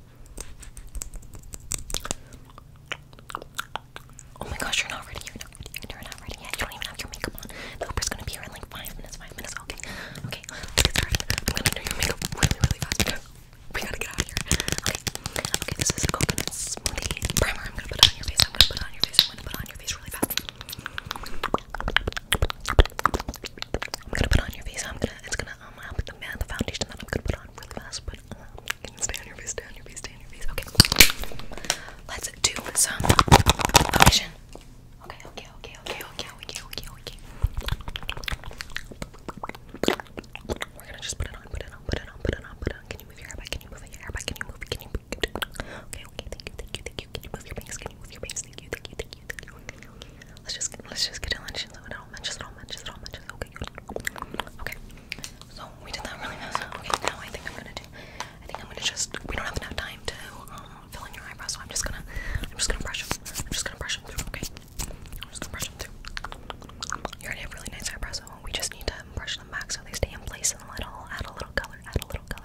Oh my gosh, you're not ready. You're not ready. You're not ready yet. You don't even have your makeup on. The is gonna be here in like five minutes. Five minutes. Okay. Okay. Let's get started. I'm gonna do your makeup really, really fast. because We gotta get out of here. Okay. Okay. This is a coconut smoothie primer. I'm gonna put on your face. I'm gonna put on your face. I'm gonna put on your face really fast. I'm gonna put on your face. I'm gonna. It's gonna. Um, I'll put the man, the foundation that I'm gonna put on really fast, but um, you can stay on your face, stay on your face, stay on your face. Okay. Let's do some foundation. Okay, okay, okay, okay, okay, okay, okay, okay. We're gonna just put it on, put it on, put it on, put it on, put it on. Can you move your hair back? Can you move your hair back? Can you move? Can you? Move? Okay, okay. Thank you, thank you, thank you. Can you move your bangs? Can you move your bangs? Thank you, thank you, thank you thank you, thank you. Let's just let's just get it lunch and it all matches, it all matches, it all matches. Okay, okay. So we did that really fast. Okay, now I think I'm gonna do. I think I'm gonna just. We don't have enough time to um, fill in your eyebrows, so I'm just gonna. I'm just gonna brush them. I'm just gonna brush them through. Okay. I'm just gonna brush them through. You already have really nice eyebrows, so we just need to brush them back so they stay in place and let all add a little color. Add a little color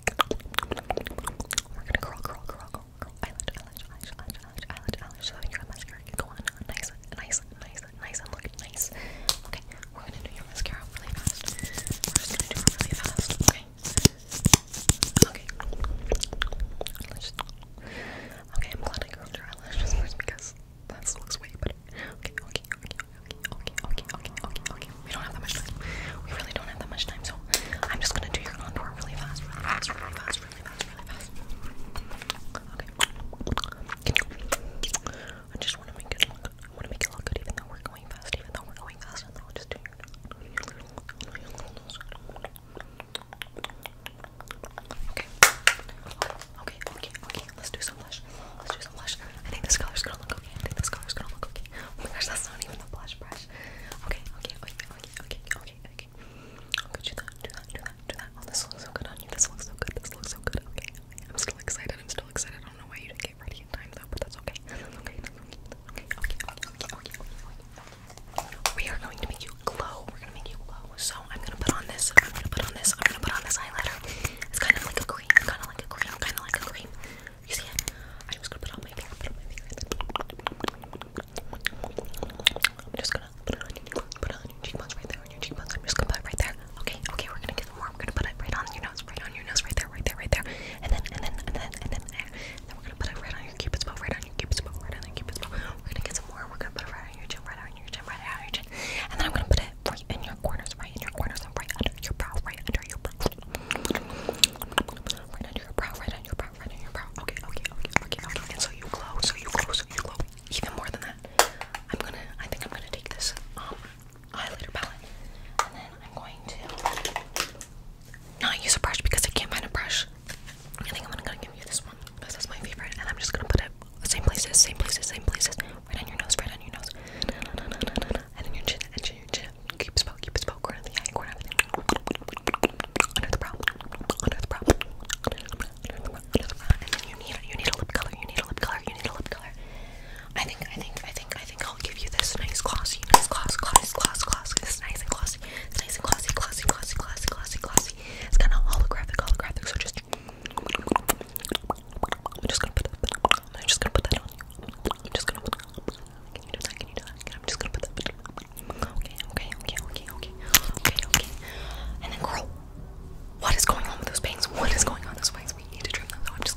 we're gonna curl, curl, curl, curl, curl. Eyelash, eyelash, eyelash, eyelash, eyelash, eyelash. So your mascara go on nice, nice, nice, nice, and look nice. Okay, we're gonna do your mascara really fast. We're just gonna do it really fast. Okay. Okay. Okay, I'm glad I curled your eyelashes first because that looks way better recording. Okay, okay, okay, okay, okay, okay, okay, okay. We don't have that much time. We really don't have that much time, so I'm just gonna do your contour really fast, really fast, really fast, really fast, really fast. Okay. I just wanna make it look I wanna make it look good even though we're going fast, even though we're going fast, and then I'll just do Okay, Okay, okay, okay. Let's do some blush. Let's do some blush. I think this color's gonna look okay. I think this color's gonna look okay. Oh my gosh, that's not even a blush brush. Okay, okay, okay, okay, okay, okay, okay. Okay, do that, do that, do that, do that. Oh, this looks so good on you. This looks so good. This looks so good. Okay. I'm still excited. I'm still excited. I don't know why you didn't get ready in time though, but that's okay. That's okay. That's okay. Okay, okay, okay, okay, okay, okay. We are going to make you glow. We're gonna make you glow. So so oh, I'm gonna put on this. I'm gonna put on this. I'm gonna put on this highlighter. It's kind of like a cream. Kind of like a cream. Kind of like a cream. You see it? I'm just gonna put on my finger. Put on my finger. I'm just gonna put it on your put it on your cheekbones right there. On your cheekbones. I'm just gonna put it right there. Okay. Okay. We're gonna get more. I'm gonna put it right on your nose. Right on your nose. Right there. Right there. Right there. And then and then and then and then there. And then we're gonna put it right on your cupid's bow. Right on your cupid's bow. Right on your cupid's bow. We're gonna get some more. We're gonna put it right on your chin, right on your chin, right on your chin. And then I'm gonna put it right in your corners, right in your corners, and right under your brow, right under your brow. Right under your brow, right under your brow, right under your brow. Okay, okay, okay, okay, okay. And so you glow, so you glow, so you glow. Even more than that, I'm gonna, I think I'm gonna take this um, highlighter palette, and then I'm going to not use a brush because I can't find a brush. I think I'm gonna give you this one because that's my favorite, and I'm just gonna put it same places, same places, same places, right on your nose, right on your nose, and then your chin, and chin, your chin. Keep spoke, keep spoke, corner of the eye, corner of everything. Under the brow, under the brow, under the brow, under the brow, and then you need, you need a lip color, you need a lip color, you need a lip color. I think, I think, I think, I think I'll give you this nice glossy, nice gloss, gloss, gloss, gloss. This nice and glossy glossy. It's nice and glossy, glossy, glossy, glossy, glossy, glossy. It's kind of holographic, holographic. So just, I'm just gonna put that. I'm just gonna put that on you. I'm just gonna. Put, can you do that? Can you do that? I'm just gonna put that. Okay, okay, okay, okay, okay, okay, okay. And then, girl, what is going on with those bangs? What is going on with those bangs? We need to trim them. So I'm just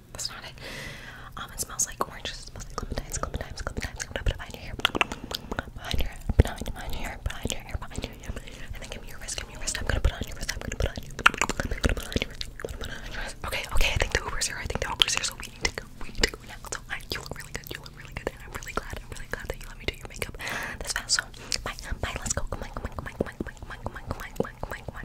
That's not it. Um, it smells like oranges. It smells like clementines, clementines, clementines. I'm gonna put it behind your hair. Behind your hair, behind, behind your hair, behind your hair, behind your hair. And then give me your wrist, give me your wrist. I'm gonna put it on your wrist. I'm gonna put it on your wrist. I'm gonna put it on your wrist. I'm gonna put it on your wrist. Okay, okay, I think the Uber's here. I think the Uber's here, so we need to go. We need to go now. So I, you look really good. You look really good. And I'm really glad. I'm really glad that you let me do your makeup this fast. So bye, bye, let's go. Come on, come on, come on, come on, come on, come on, come on, come on, come on, come on, come on.